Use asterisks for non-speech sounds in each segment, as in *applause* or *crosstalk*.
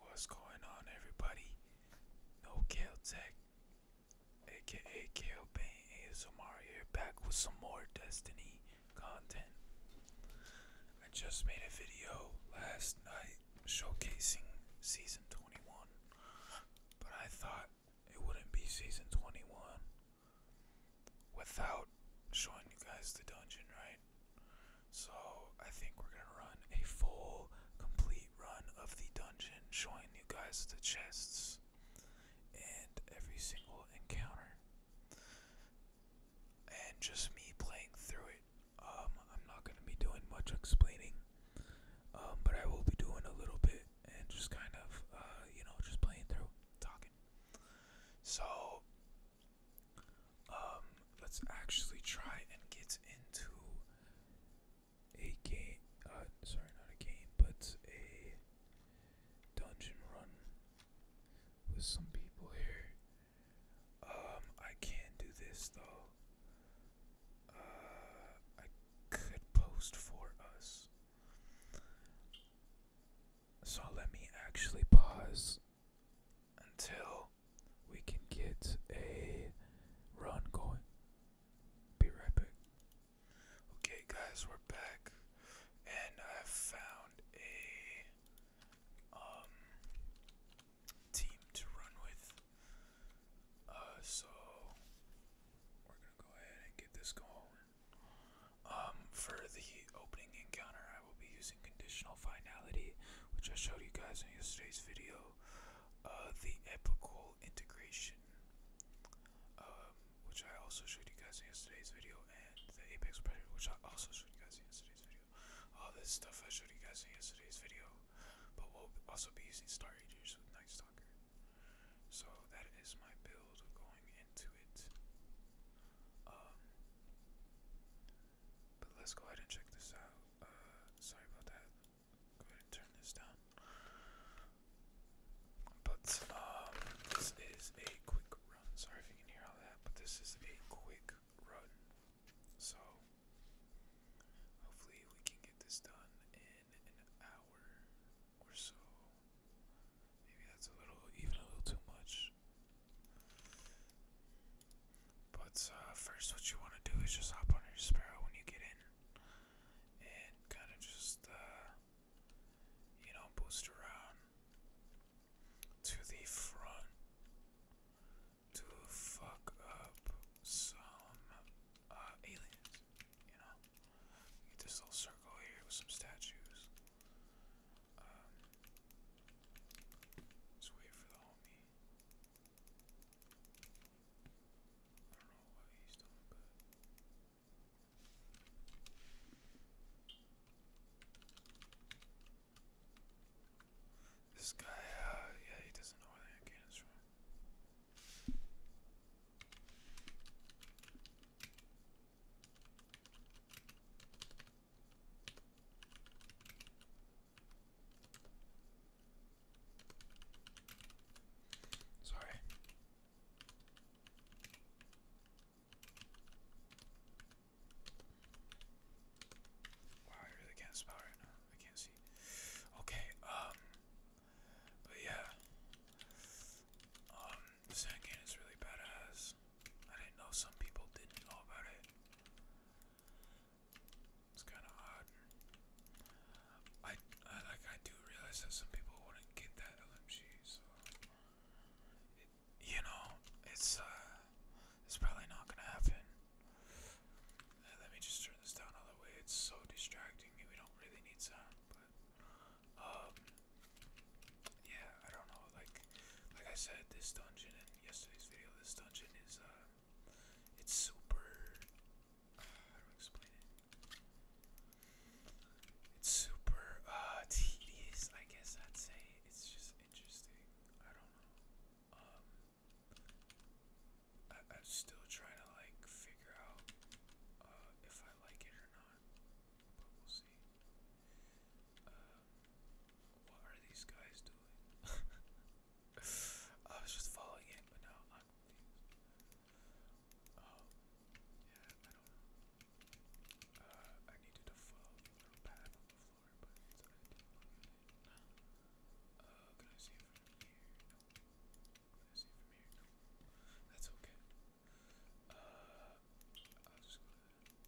What's going on, everybody? No Kill Tech, aka Kill Bane ASMR here, back with some more Destiny content. I just made a video last night showcasing Season 21, but I thought it wouldn't be Season 21 without showing you guys the dungeon, right? So I think we're gonna run a full, complete run of the dungeon, showing you guys the chests and every single encounter, and just me playing through it. Um, I'm not gonna be doing much explaining, um, but I will be doing a little bit and just kind of, uh, you know, just playing through, talking. So um, let's actually try and get into a game. Uh, sorry, not a game, but a dungeon run with some people here. Um, I can't do this though. Uh, I could post for us. So let me actually pause until we can get a run going. Be right back. Okay, guys, we're back, and I found a um, team to run with. Uh, so we're gonna go ahead and get this going. Um, for the opening encounter, I will be using conditional finality, which I showed you guys in yesterday's video. Uh, the epical integration, um, which I also showed you guys in yesterday's video, and the apex predator, which I also showed you guys in yesterday's video. All this stuff I showed you guys in yesterday's video, but we'll also be using Star Agers with Night Stalker. So that is my build going into it. Um, but let's go ahead and check this out. Uh, sorry about that. Go ahead and turn this down. But um, this is a quick run. Sorry if you can hear all that, but this is a quick run. So hopefully we can get this done in an hour or so. Maybe that's a little, even a little too much. But uh, first, what you want to do is just hop on your Sparrow when you get in, and kind of just uh, you know boost around to the front to fuck up some uh, aliens. You know, get this little circle here with some statues. Um, just wait for the homie this guy, uh, yeah, he doesn't know where the hand from. Sorry. Wow, I really can't spell right now. I can't see. Okay, um but yeah. Um the game is really badass. I didn't know some people didn't know about it. It's kind of odd. I, like I do realize that some people wouldn't get that LMG, so you know it's uh it's probably not gonna happen. Uh, let me just turn this down all the way. It's so distracting. We don't really need sound, but um yeah I don't know like like I said this dungeon in yesterday's video this dungeon is uh it's super. Uh, do I explain it? It's super uh, tedious, I guess I'd say. It's just interesting. I don't know. Um, I, am still trying to like figure out uh, if I like it or not, but we'll see. Uh, what are these guys doing? *laughs* I was just following it, but now I'm confused. Oh, yeah, I don't know. Uh, I needed to follow the little path on the floor, but it's I uh, can I see from here? Can I see from here? That's okay. Uh, I'll just go to Maybe.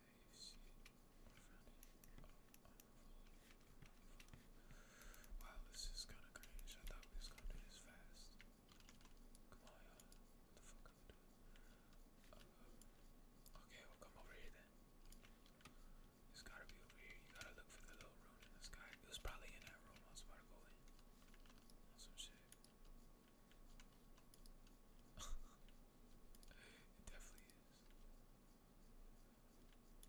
Wow, this is kind of cringe. I thought we was gonna do this fast. Come on, What the fuck am I doing? okay, we'll come over here then. It's gotta be over here. You gotta look for the little room in the sky. It was probably in that room I was about to go in. some shit it definitely is.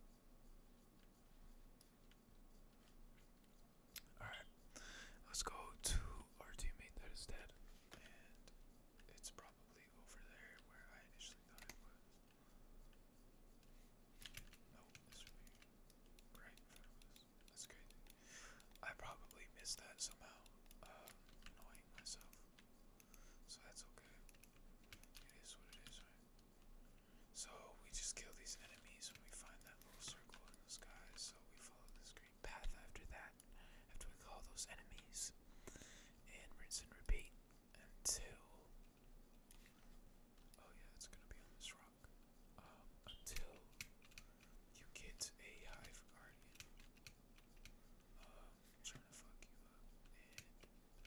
Alright, let's go to our teammate that is dead, and it's probably over there where I initially thought it was. No, it's right right in front of us. That's crazy. I probably missed that somehow. Um, so that's okay. It is what it is, right? So we just kill these enemies when we find that little circle in the sky. So we follow this green path after that, after we call those enemies, and rinse and repeat until. Oh yeah, it's gonna be on this rock. Um, until you get a hive guardian uh, trying to fuck you up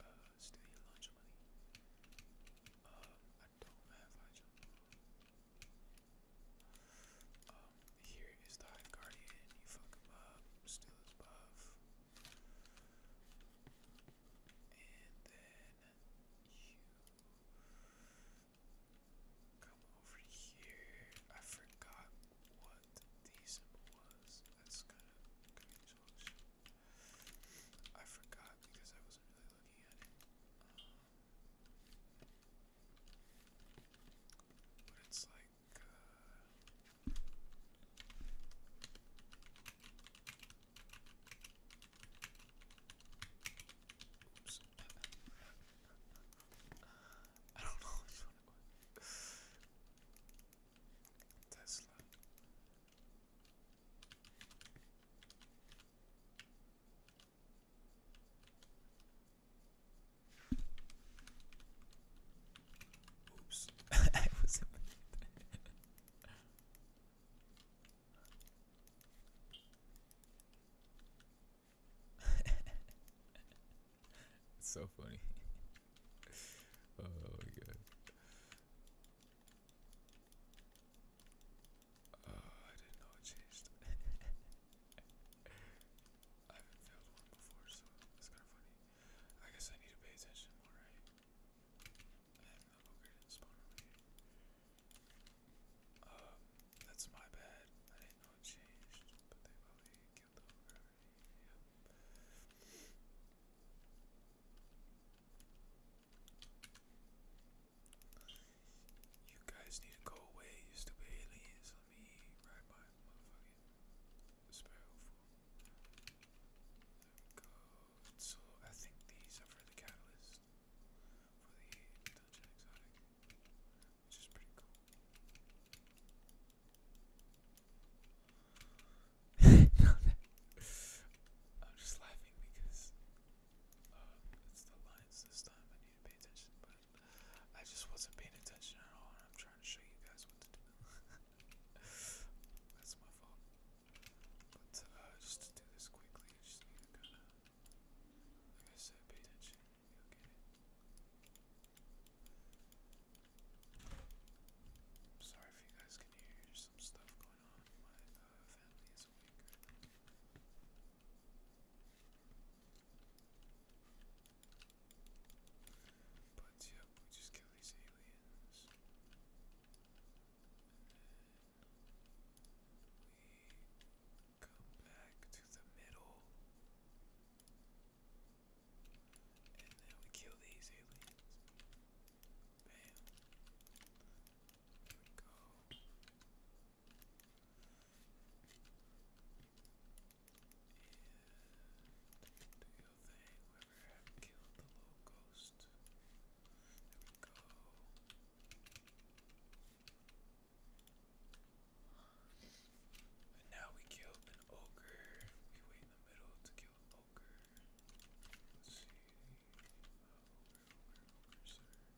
and uh, lunch money. Um, I don't have high jump. Um, here is the High Guardian. You fuck him up, steal his buff. And then you come over here. I forgot what the symbol was. That's kind of confusing. I forgot because I wasn't really looking at it. Um, but it's like. Uh, *laughs* I don't know Tesla. *laughs* Oops, I was *laughs* it's *laughs* so funny. *laughs* oh my god. Oh, I didn't know it changed. *laughs* I haven't failed one before, so it's kind of funny. I guess I need to pay attention more, right? And the booger didn't spawn Um, that's my bad. I didn't know it changed, but they probably it You guys need to go away, you stupid aliens. Let me ride my motherfucking sparrow So I think these are for the catalyst for the dungeon exotic. *laughs* I'm just laughing because um, it's the lines this time. I need to pay attention, but I just wasn't paying attention at all, I'm trying to show you guys what to do. *laughs* That's my fault. But uh, just to do this quickly, I just need to kind like I said, pay attention. Go sorry if you guys can hear some stuff going on. My uh, family is awake But yep, we just kill these aliens. Come back to the middle. And then we kill these aliens. Bam. go. do your thing. Whoever killed the little ghost. There we go. And now we killed an ogre. We wait in the middle to kill an ogre. Let's see.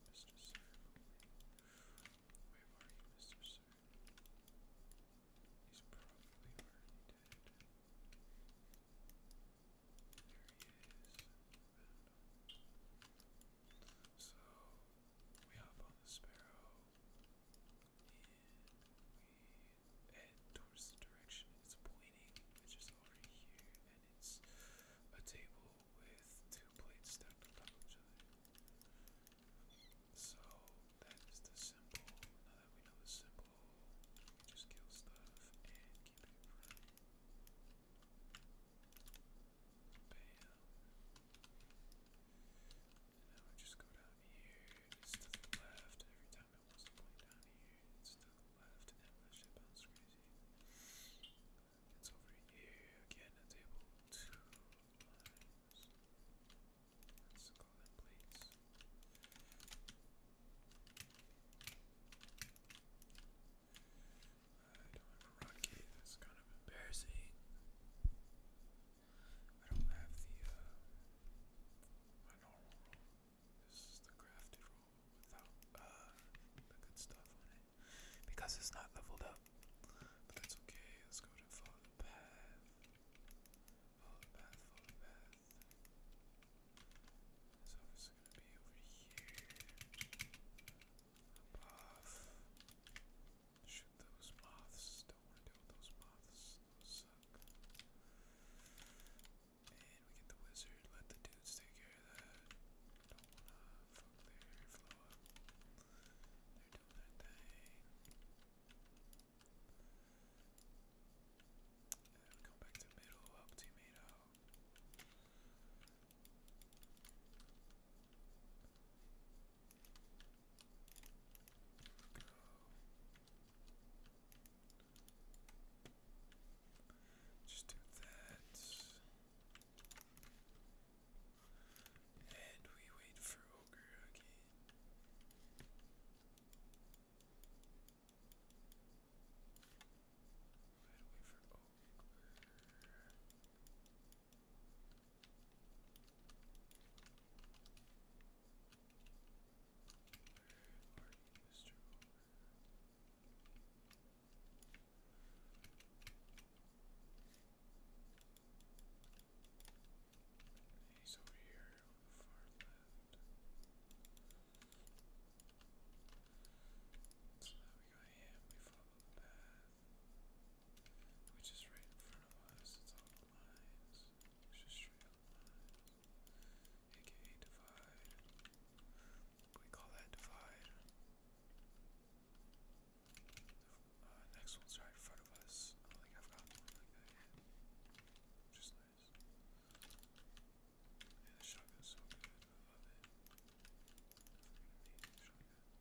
Mr. Sir. Where are you, Mr. Sir? He's probably already dead. There he is. so we hop on the sparrow and, and towards the direction it's pointing, which is over here, and it's a table with two plates stacked on top of each other. So that is the symbol. Now that we know the symbol, just kill stuff and keep it running. Bam. And I just go down here, to the left. Every time it wants to point down here, it's to the left, and that shit bounces crazy. It's over here again, a table, two lines. Let's plates. I don't have a rocket, that's kind of embarrassing. I don't have the uh, my normal This is the crafted roll without uh, the good stuff on it because it's not leveled up. But that's okay. Let's go ahead follow path. Follow path. Follow path. So it's gonna be over here. Up Shoot those moths. Don't want to deal with those moths. suck. And we get the wizard. Let the dudes take care of that. Don't want to fuck their airflow up. They're doing their thing. And we come back to middle. Help teammate out. Just do that. And we wait for Ogre again. Wait for Ogre. Where you, He's over here on the far left. So now we got him, we the path which is right in front of us. It's all lines, which is straight up lines, aka divide. We call that divide. Uh, next one's right in front of us. I don't think I've got one like that yet, which is nice. And the shotgun's so good. I love it. Never gonna need a shotgun.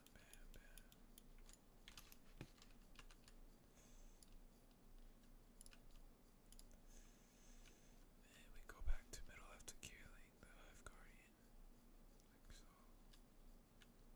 And we go back to middle after killing the Hive Guardian. There we go.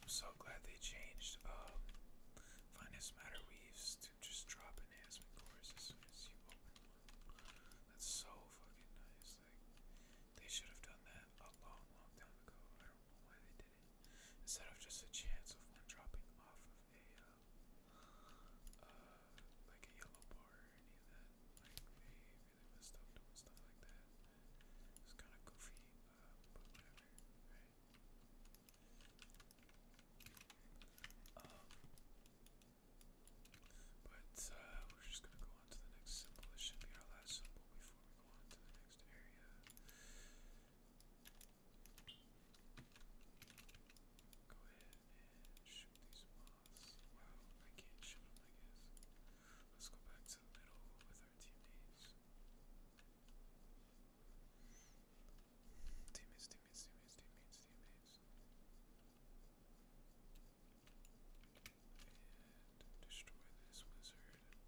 I'm so glad they changed um, Finest Matter Weaves to just drop enhancement cores as soon as you open one. That's so fucking nice. Like, they should have done that a long, long time ago. I don't know why they did it. Instead of just a chance of one dropping off of a, uh, uh, like a yellow bar or any of that. Like they really messed up doing stuff like that. It's kind of goofy, but whatever, um, but uh, we're just gonna go on to the next symbol. This should be our last symbol before we go on to the next area. Go ahead and shoot these Wow, I can't shoot him, I guess. Let's go back to middle with our teammates. Teammates, teammates, teammates, teammates, teammates. And destroy this wizard. There we go.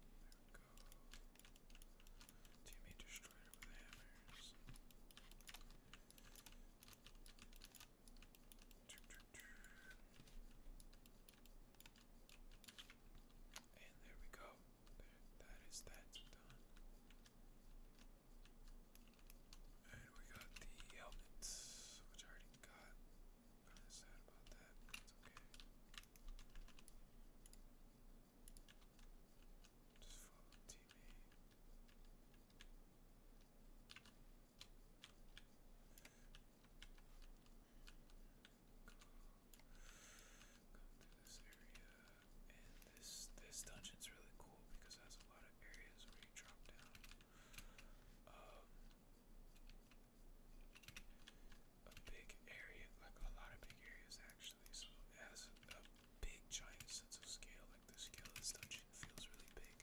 Teammate destroyer with hammers. And there we go. that is that done. And we got the helmets, which I already got. Kind of sad about that, it's okay. Just follow teammate this area, and this this dungeon's really cool because it has a lot of areas where you drop down. Um, a big area, like a lot of big areas actually. So it has a big giant sense of scale. Like the scale of this dungeon feels really big,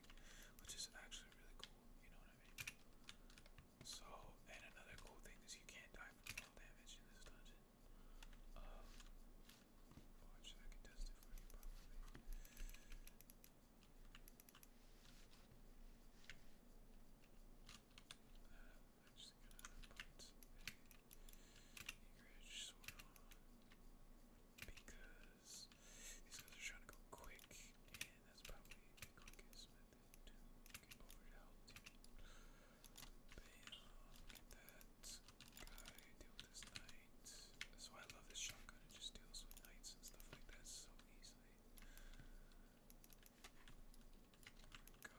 which is actually really cool, you know what I mean? So, and another cool thing is you can't die from fall damage in this dungeon. Um, oh, I can test it for you probably. Uh, I'm just gonna put a sword because these guys are trying to go quick, and that's probably the quickest method to get that guy, deal with this That's why I love this shotgun, it just deals with knights and stuff like that so easily. go,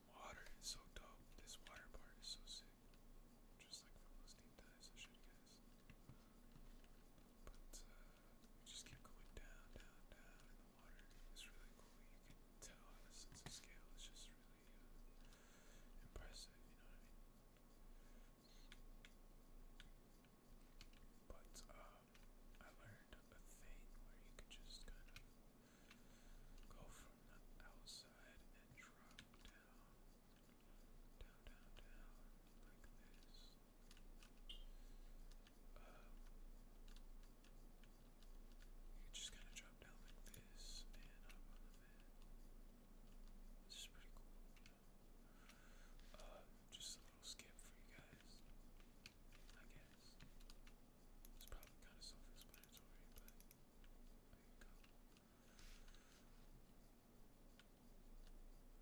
water. It's so dope. This water part is so sick. Just like from those deep dives, I should guess. But uh, we just keep going down, down, down in the water. It's really cool. You can tell on a scale. It's just really uh, impressive. You know what I mean? But um, I learned a thing where you could just kind of go from the outside and drop down, down, down, down, like this. Um, you just kind of drop down like this and hop This is pretty cool, Uh, just a little skip for you guys, I guess. It's probably kind of self-explanatory, but there you go.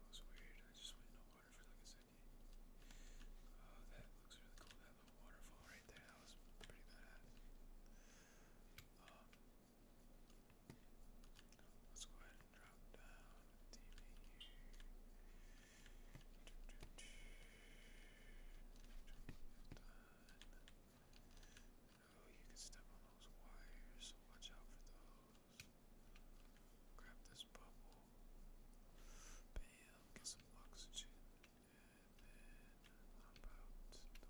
was weird. I just went in the water for like a second. Oh, that looks really cool. That little waterfall right there. That was pretty badass. Um, let's go ahead and drop down Oh, you can step on those wires. Watch out for those. Grab this bubble. Bam, get some oxygen. And then hop out the window with we go.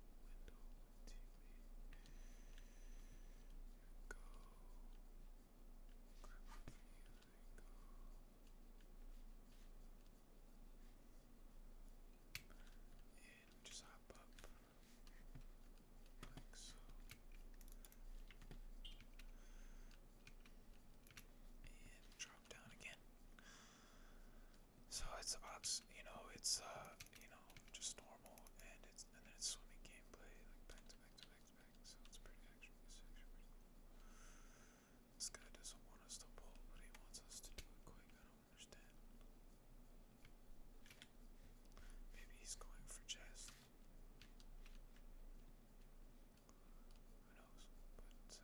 Grab it go. And just hop up like so. And drop down again. So it's you know, it's uh, you know, just normal and it's and then it's swimming gameplay like back to back to back to back. So it's pretty actually it's actually pretty this guy doesn't want us to pull, but he wants us to do it quick. I don't understand. Maybe he's going for chest. Who knows? But uh, here is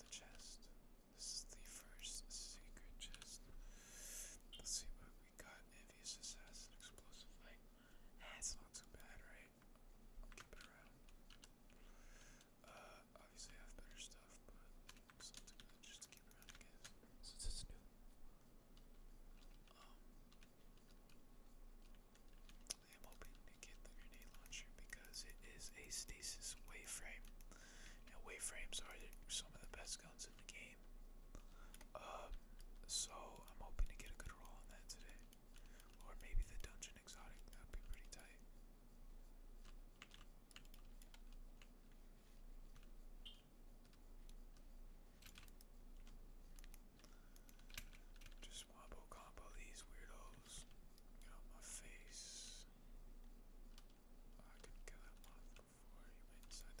the chest. This is the first secret chest. Let's see what we got. Envious assassin, explosive light. That's not too bad, right? Uh, obviously I have better stuff, but just keep around, I guess, since it's new. Um, I am hoping to get the grenade launcher because it is a stasis waveframe. Now, waveframes are some of the best guns in the game. Uh, so I'm hoping to get a good roll on that today. Or maybe the dungeon exotic, that'd be pretty tight. Just wombo combo these weirdos. Get my face. I could kill that moth before he went inside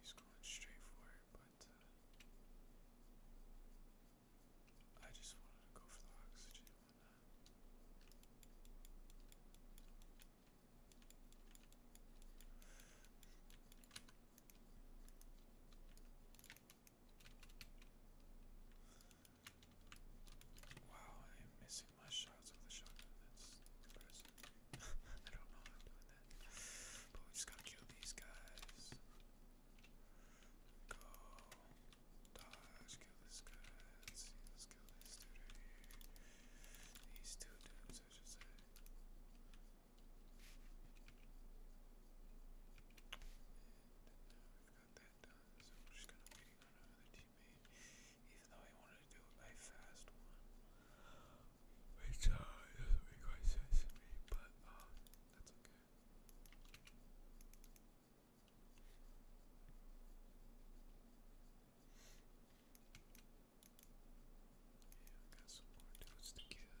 He's going straight for it, but uh, I just wanted to go for the oxygen. Wow, I am missing my shots with the shotgun. That's impressive. *laughs* I don't know how I'm doing that. But we just gotta kill these guys. Go. Dodge, kill this guy. Let's kill this dude right here. These two dudes, I should And now we've got that done, so we're just kind of waiting on another even though I wanted to do a fast one. Which doesn't make sense to me, but that's okay. Yeah, got some more dudes to kill.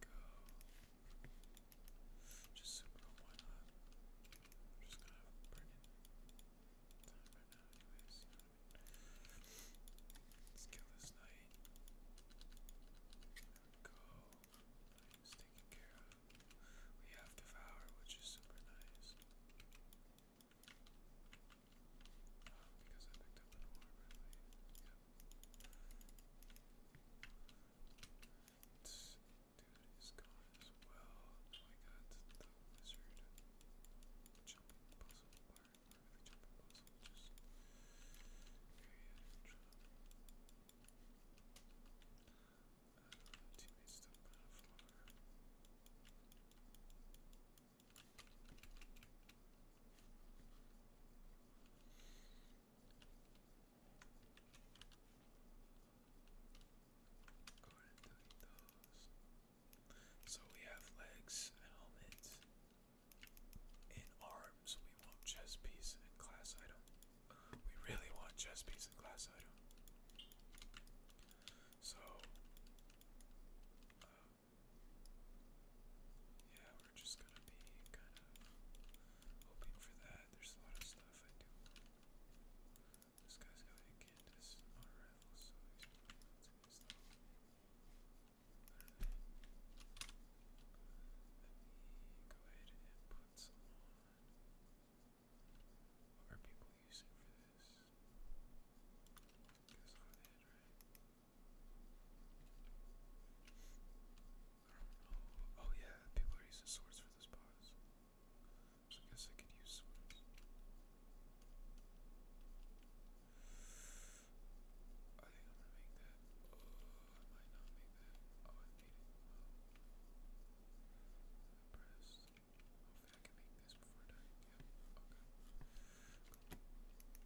There we go. Just super, why not? just gonna have burning time right now, anyways. You Let's kill this knight. go. Knight's taken care of. We have Devour, which is super nice. Oh, because dude is gone as well. Oh my the wizard jumping puzzle part, or the puzzle, just very trouble. Uh, teammates still kind so we have legs, helmet, and arms. We want chest piece and class item. We really want chest piece and class item. So, uh, yeah, we're just gonna be kind of hoping for that. There's a lot of stuff I do. This guy's got a Candace on a rifle, so Let me go ahead and put some on. What are people using for this? Guess hot Oh yeah, people are using swords for this boss. I guess I could use swords. I think I'm gonna make that. Oh, might not make that. Oh, I made it. Well, Hopefully I can make this before dying. okay.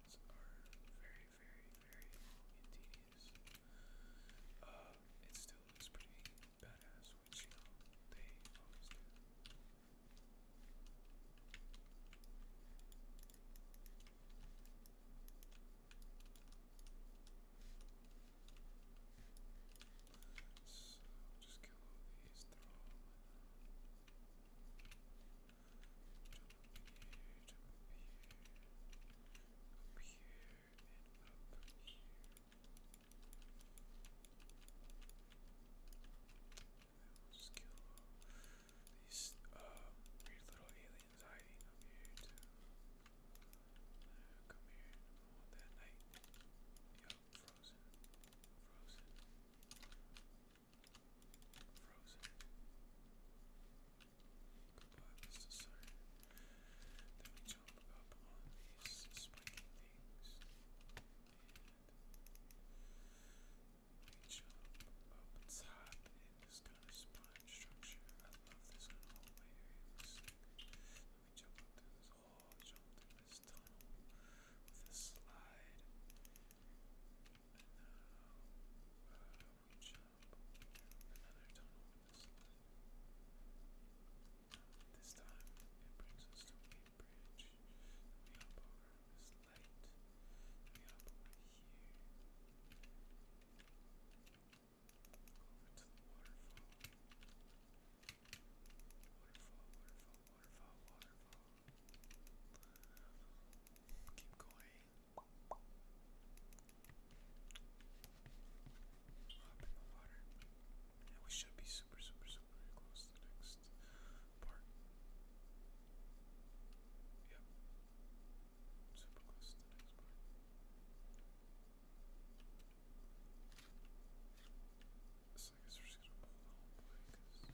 transitions are very, very, very long and tedious. Uh, it still looks pretty badass, which you know they always do. So just kill all these. They're all. Uh, we'll just kill these uh, weird little aliens hiding up here too. Uh, come here, I want that night. Yo, frozen, frozen. Frozen. Goodbye, Mr. Sire. Then we jump up on these spiky things. And we jump up top in this kind of sponge structure. I this kind of hallway area. Looks like. jump up this hole, jump through this tunnel with a slide now uh, we jump another tunnel this time it brings us to a bridge. we hop over this light. we hop over here. Over to the waterfall. Waterfall, waterfall, Waterfall, waterfall. Keep going. Up in the water. And we should be super, super, super close to the next part. Yep. Super close to the next part. So I guess we're just gonna pull the whole way because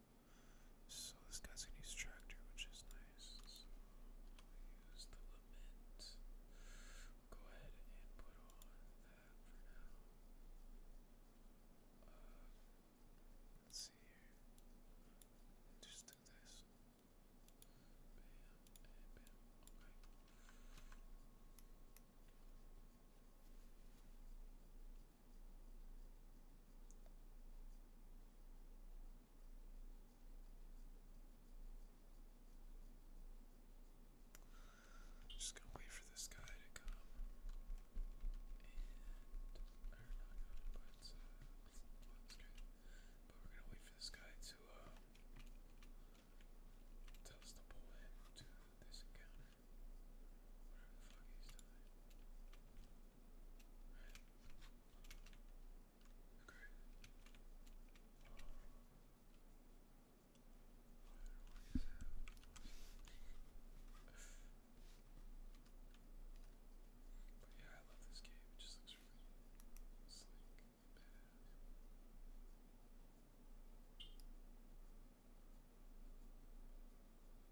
So this guy's gonna use tractor, which is nice. go ahead and put on that for now. Uh, let's see here. Just do this. Just gonna wait for this guy to come. or uh, not but uh good. But we're gonna wait for this guy to uh tell us to pull him to this encounter. Whatever the fuck he's doing. Okay. Uh, but yeah, I love this game. It just looks really sleek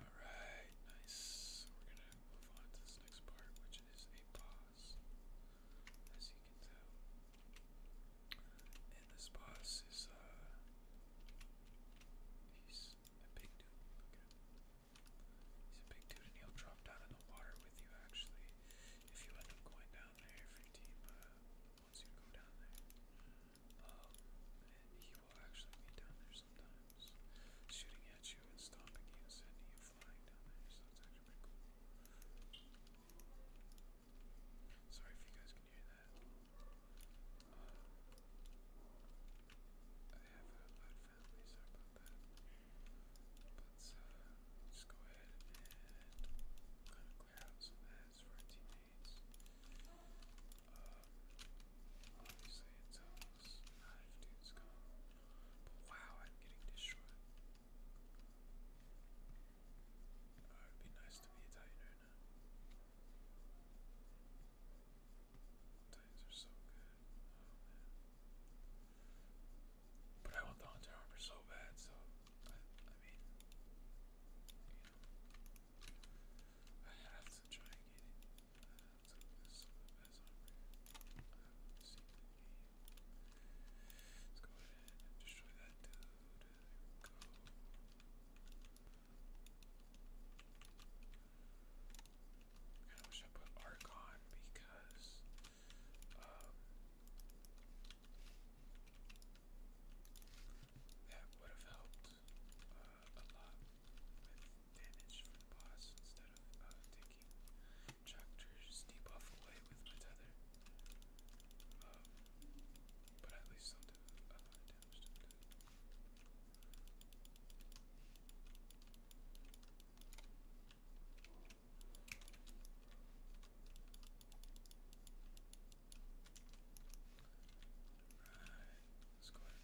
All right, nice. We're gonna move on to this next part, which is a boss, as you can tell. And this boss is uh, he's a big dude. He's a big dude, and he'll drop down in the water with you. Actually, if you end up going down there, if your team uh, wants you go down there, um, he will actually be down there sometimes, shooting at you and stomping you and sending you flying down there. So it's actually pretty cool. Sorry if you guys can hear that. I have a loud family, sorry about that. let just go ahead and kind of clear some ads for our teammates. Um, obviously, it's almost knife dudes come. But wow, I'm getting destroyed. it'd be nice to be Italian right Titans are so good. Oh man. But I want the hunter armor so bad, so I, I mean, you know, I have to try and get it. Uh, so this is some of the best armor I haven't seen in the game. Let's go ahead and destroy that dude. There we go. I wish I put Archon because um, that would have helped uh, a lot with damage for the boss instead of uh, taking Choctors debuff away with my tether. Um, but at least I'll uh, times to let's go ahead and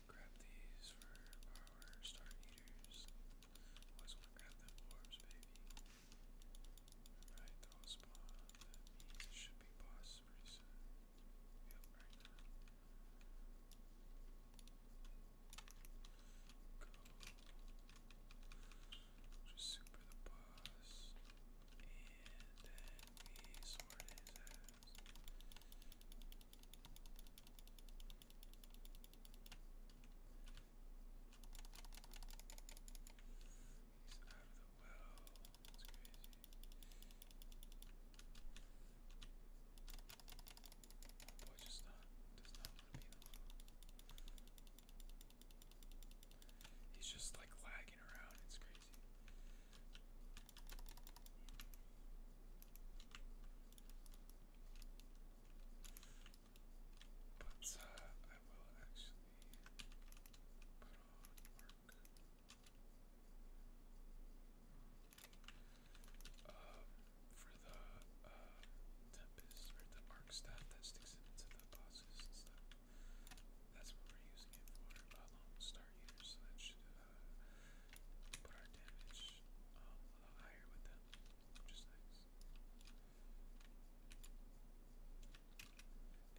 grab these for our star eaters. Always want to grab them orbs, baby. Alright, they spawn. should be boss pretty soon. Yep, right Just super the boss. And then we sword his ass. He's out of the well. That's crazy. My boy just not does not want to be in the room. He's just like lagging around. It's crazy. But uh, I will actually put on our um, for the Tempest or the Arc Staff that sticks into the bosses and stuff. That's what we're using it for. Uh, long star eaters, that should put our damage a lot higher with them, which is nice.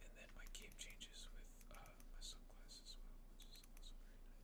And then my cape changes with uh, my sunglasses as well, which is also very nice.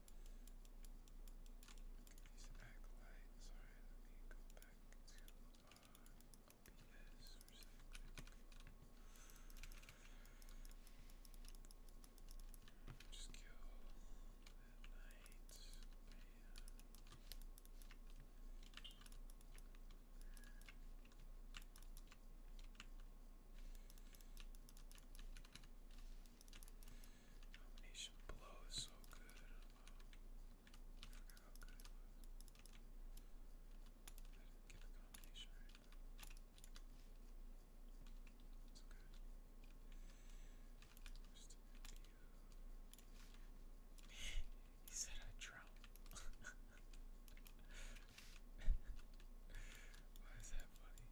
These acolytes, sorry, let me go back to uh, OBS for a second. Just kill that knight, man. Domination blow is so good. get the combination it's okay. Just he said I drown. *laughs* Why is that funny.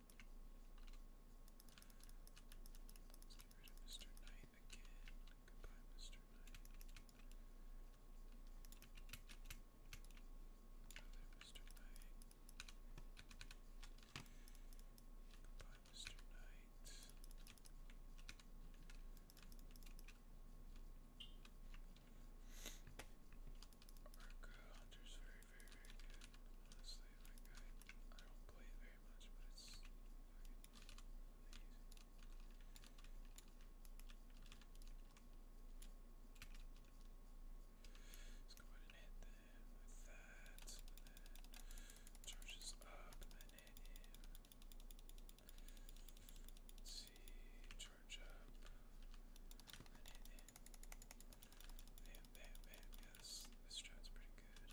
Let's get rid of Mr. Knight again. Goodbye, Mr. Knight. Another Mr. Knight. Goodbye, Mr. Knight. Arca Hunter's very, very, good. Honestly, like I, I don't play very very much, Let's go ahead and hit that, charges up, then hit him. see, charge up, and hit him. Bam, bam, bam, yeah, this, this pretty good.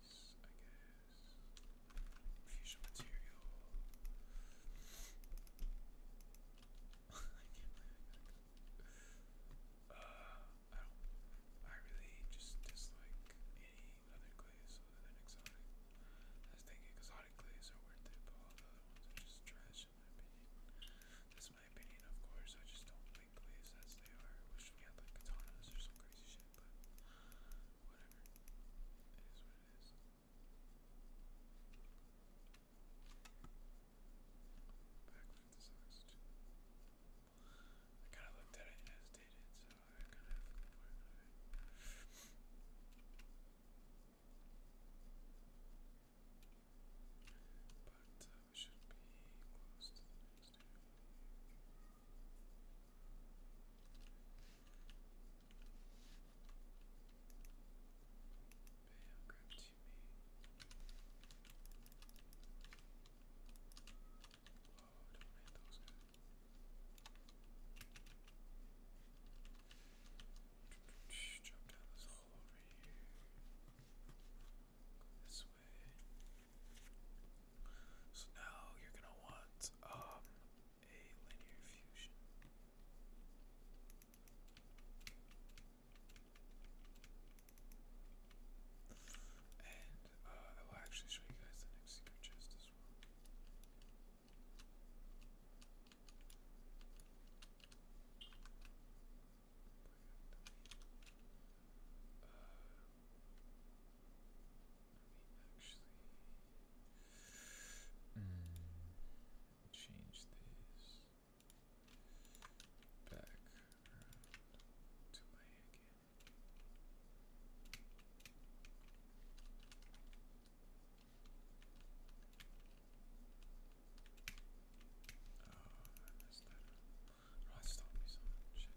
nice, I guess. Fusion material. *laughs* Uh, I don't. I really just dislike any other glaze other than exotic. I was thinking exotic glaze are worth it, but all the other ones are just trash in my opinion. That's my opinion, of course. I just don't like glaze as they are. wish we had like katanas or some crazy shit, but whatever. That is what it is. Back with this oxygen. I kind of looked at it and hesitated, so I kind of have for another But we should be close to the next I'll grab two don't hit those guys. Jump down this hole over here. this way. So now you're gonna want um a linear fusion. And uh, I will actually show you guys the next secret chest as well actually mm, change this back to my again. Oh, I messed that up. Rod me so Shit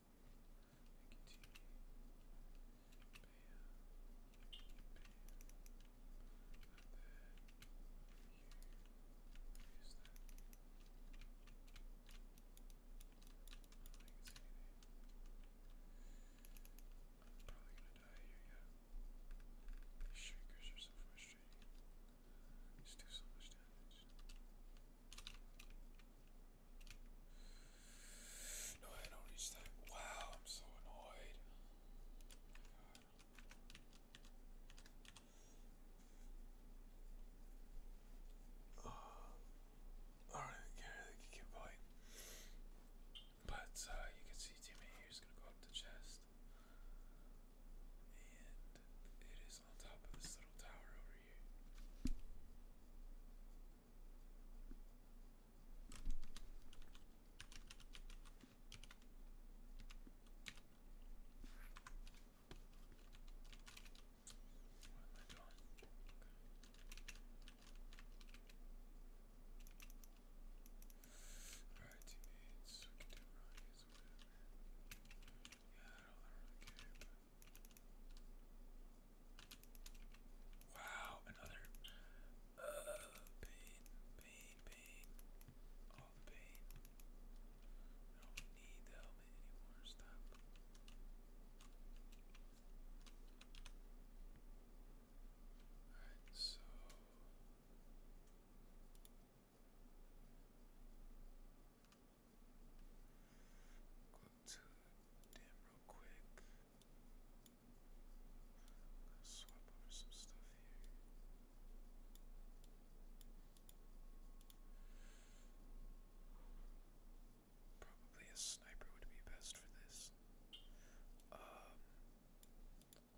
and continue. I am probably gonna die here, yeah. shrinkers are so frustrating. Just do so much damage. No, I don't reach that. Wow, I'm so annoyed. Oh all right, Gary, keep going. But uh, you can see Timmy here is gonna go up the chest, and it is person on top of this little tower over here. What am I doing? Alright, teammates, we can do wrong Yeah, I don't, really care, Wow, another. Uh, pain, pain, pain. All the pain. Oh, I don't need the helmet anymore. Stop. Alright, so. Go to them real quick. swap over some stuff here. Probably a sniper would be best for this. Um,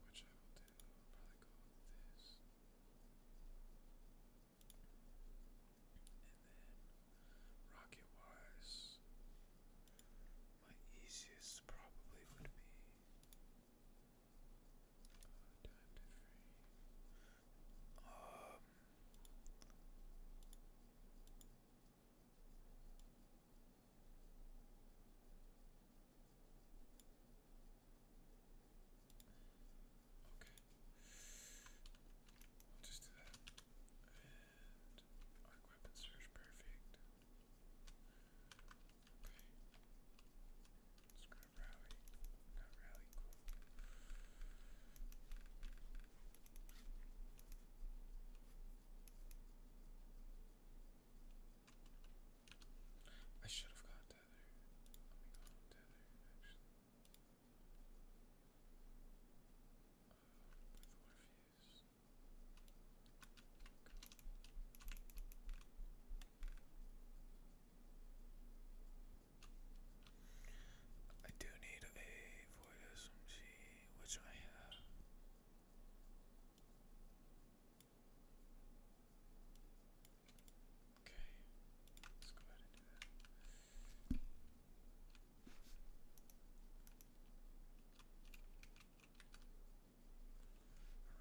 which I will do. probably go with this. And then my easiest probably would be uh, Okay. I'll just do that. arc weapon search perfect. Okay. Let's grab rally. Not rally, cool. I should have gone tether. Let me go tether, actually. With reviews. I do need a void SMG, which I have. Okay, let's go ahead and do that.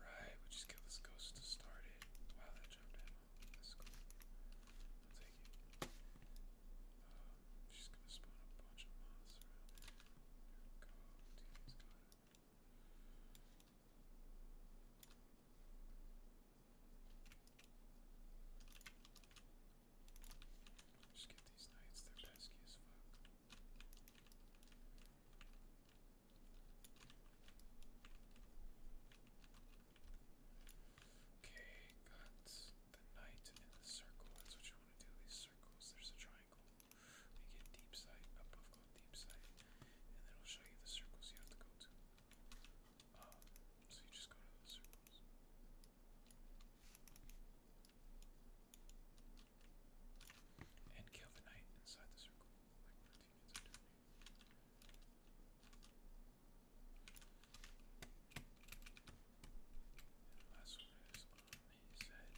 Alright, we just get this ghost started. Wow, that jumped ammo. That's cool. I'll take it. Um, she's gonna spawn a bunch of moths around here. we go. Team's got just get these knights, they're pesky as Okay, got the knight in the circle. That's what you want to do. These circles, there's a triangle. We get deep sight, above called deep sight, and then it'll show you the circles you have to go to so you just go to those circles. And kill the knight inside the circle, like Martinez are doing. And the last one is on his head.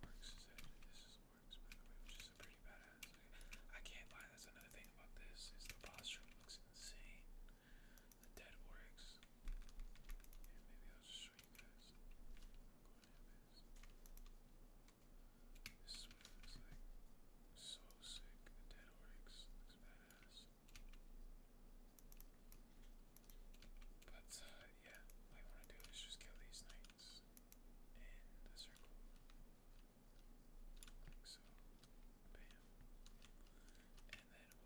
Orcs is is Orcs, by the way, which is a pretty badass. I can't lie, that's another thing about this is the posture looks insane. The dead works. maybe I'll just show you guys. This is like. So sick. The dead works. Looks badass. But uh, yeah, what I want to do is just kill these knights in the circle. Like so. Bam. And then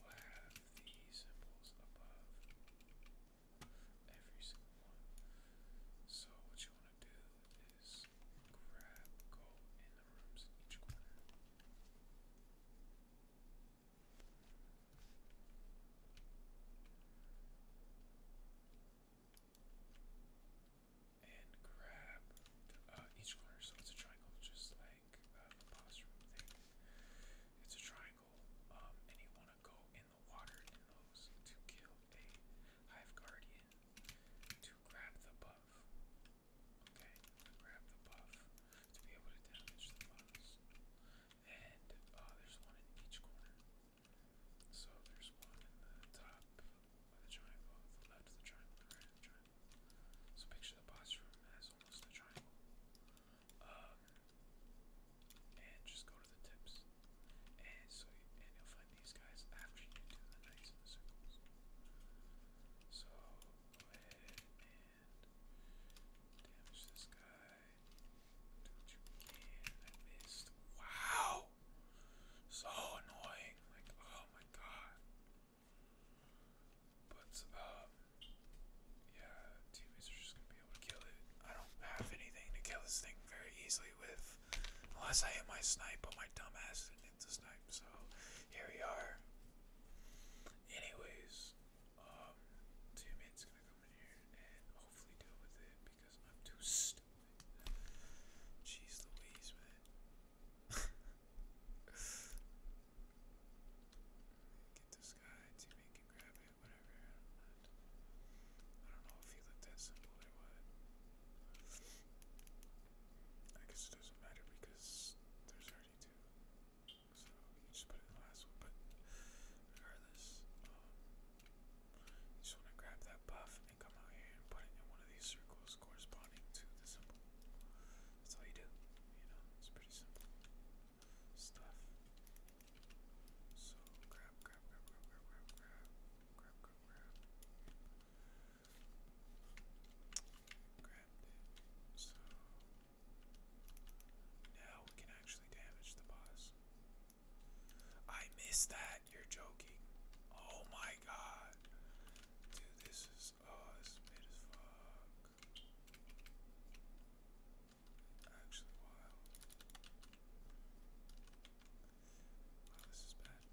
we'll have the symbols above every single one. So what you want to do is grab, go in the rooms each corner and grab uh, each corner. So it's a triangle, just like uh, thing. It's a triangle, um, and you want to go in the water to kill a hive guardian to grab the buff. Okay, grab the buff to be able to damage the boss. And uh, there's one in each corner. So there's one in the top so picture the boss as almost a triangle. and just go to the tips. And so you, and you'll find these guys after you do the knights and the circles. So go ahead and damage this guy. Wow! So annoying. Like, oh my god. But, uh, yeah, teammates are just gonna be able to kill it. I don't have anything to kill this thing very easily with, unless I hit my snipe, but my dumbass didn't hit the snipe, so here we are. Anyways, um, uh, teammate's gonna come in here and hopefully deal with it because I'm too stupid. Jeez Louise, man. Get this guy, teammate can grab whatever, I don't know if he looked that simple or what. I guess it doesn't matter because there's already two. So just put it in the last one, but regardless, um, you just want to grab that buff and come out here and put it in one of these circles corresponding to the symbol. That's all you do, you know, it's pretty simple stuff. So grab, grab, grab, grab, grab, grab, grab, grab, grab, grab. it. So now we can actually damage the boss. I missed that. You're joking. Oh my god. Dude, this is oh this is mid as fuck. Actually wild. Wow, this is bad. *laughs*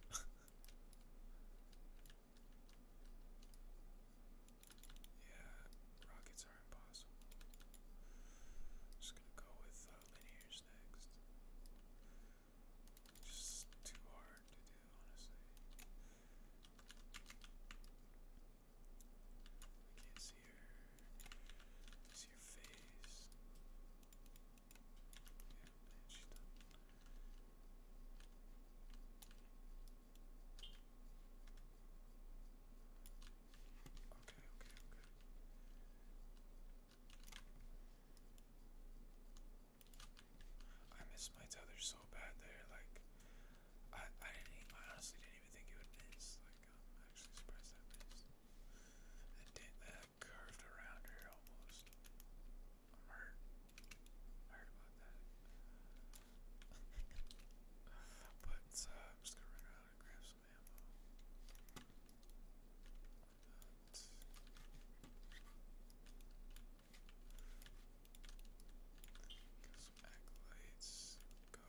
yeah, rockets are impossible. just gonna go with uh, linears next. Just too hard to do, honestly. I can't see her. see her face. Yeah, done. Okay, okay, okay. I miss my tether so bad there. Like, I, I didn't, I honestly didn't even think it would miss. Like, I'm um, actually surprised that missed. That did that curved around here almost. I'm hurt. I heard about that. *laughs* but uh, I'm just gonna run around and grab some ammo. Get some Go.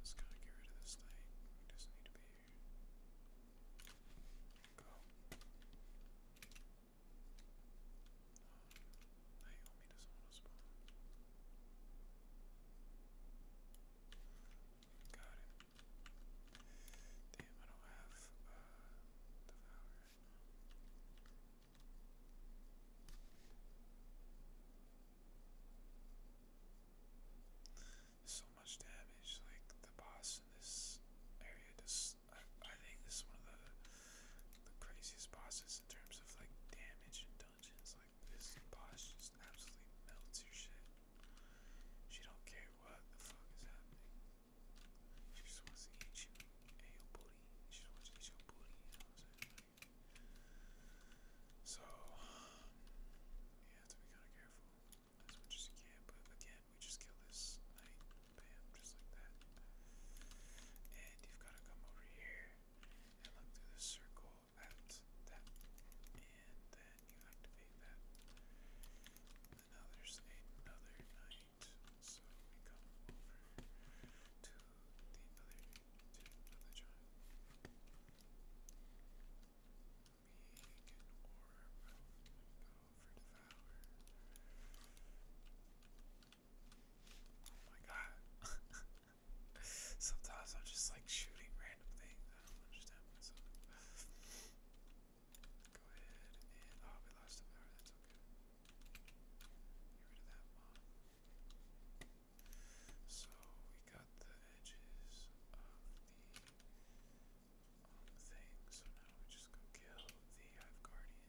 let's kind of get rid of this knight. He does need to be here. Go. Uh, Naomi doesn't want to spawn. Got it. Damn, I don't have uh, right now. so much damage, like the boss in this area just I, I think this is one of the the craziest bosses in terms of like damage in dungeons. Like this boss just absolutely melts your shit. She don't care what the fuck is happening. She just wants to eat you and your booty. She wants to eat your booty, so, you have to be kind of careful as much as you can. But again, we just kill this knight, just like that. And you've got to come over here and look through this circle at that. And then you activate that. And another knight, so we come over to the other to another child. We can orb and go for devour. Oh my god. Sometimes I'm just like shooting random things. I don't understand myself. Go ahead and oh, lost the power. That's okay. Get rid of that mob. So we got the edges of the thing. So now we just go kill the Hive Guardian.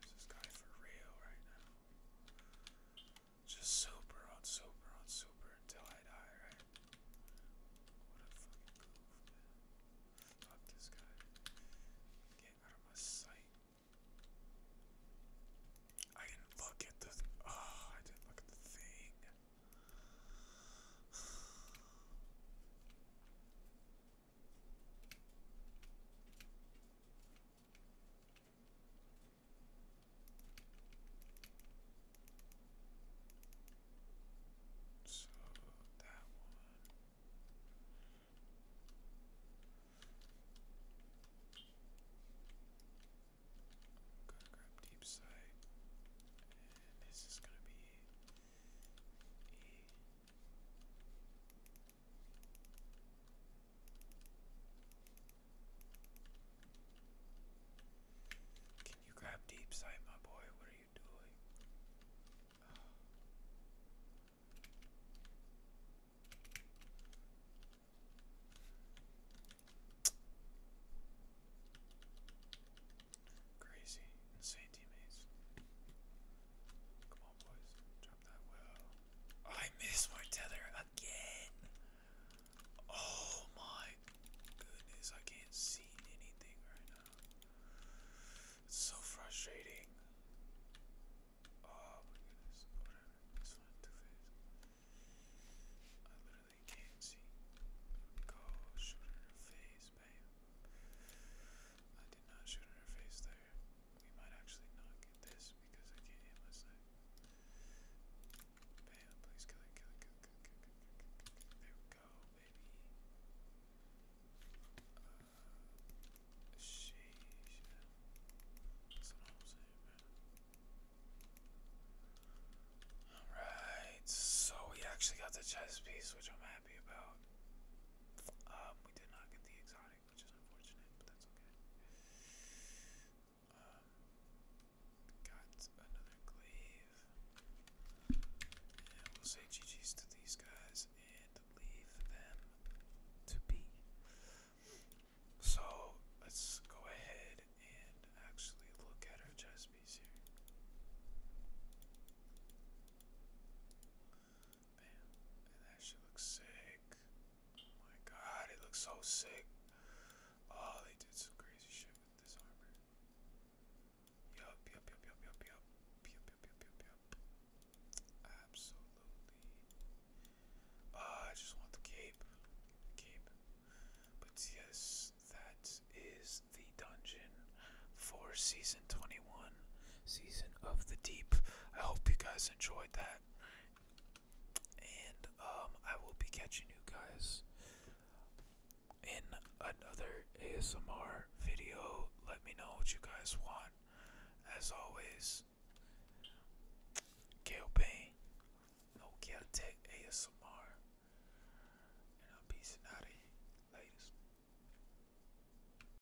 this guy for real right now? Just super on super on super until I die, right? What a fucking goof, man. Fuck this guy. Get out of my sight. I didn't look at the. Oh, I didn't look at the thing. So that one. I'm gonna grab deep sight, and this is gonna be E. Can you grab deep sight, my boy? What are you doing? Crazy, insane teammates. I miss my tether again. Oh my goodness, I can't see anything right now. It's so frustrating. Oh my goodness. Whatever. This one, two face. I literally can't see. Go shoot in her face, babe. I did not shoot in her face there. We might actually not get this because I can't hit my side. Bam, please go, baby. Uh, sheesh. That's what Alright, so we actually got the chess piece, which I'm happy about. Um, we did not get the exotic which is unfortunate, but that's okay. Um, got another glaive. And we'll say GG's to these guys and leave them to be. So let's go ahead and actually look at our chess piece here. Man, that shit looks sick. Oh my god, it looks so sick. Oh, they did some crazy shit with this armor. Yup, yup, yup, yup, yup, yup. Yup, yup, yup, yup, yup. Absolutely. Uh, I just want the cape. cape. But yes, that is the dungeon for season season season of the deep i hope you guys enjoyed that and um i will be catching you guys in another asmr video let me know what you guys want as always Gail Payne, no care tech ASMR, and I'm peacing out of here. Latest.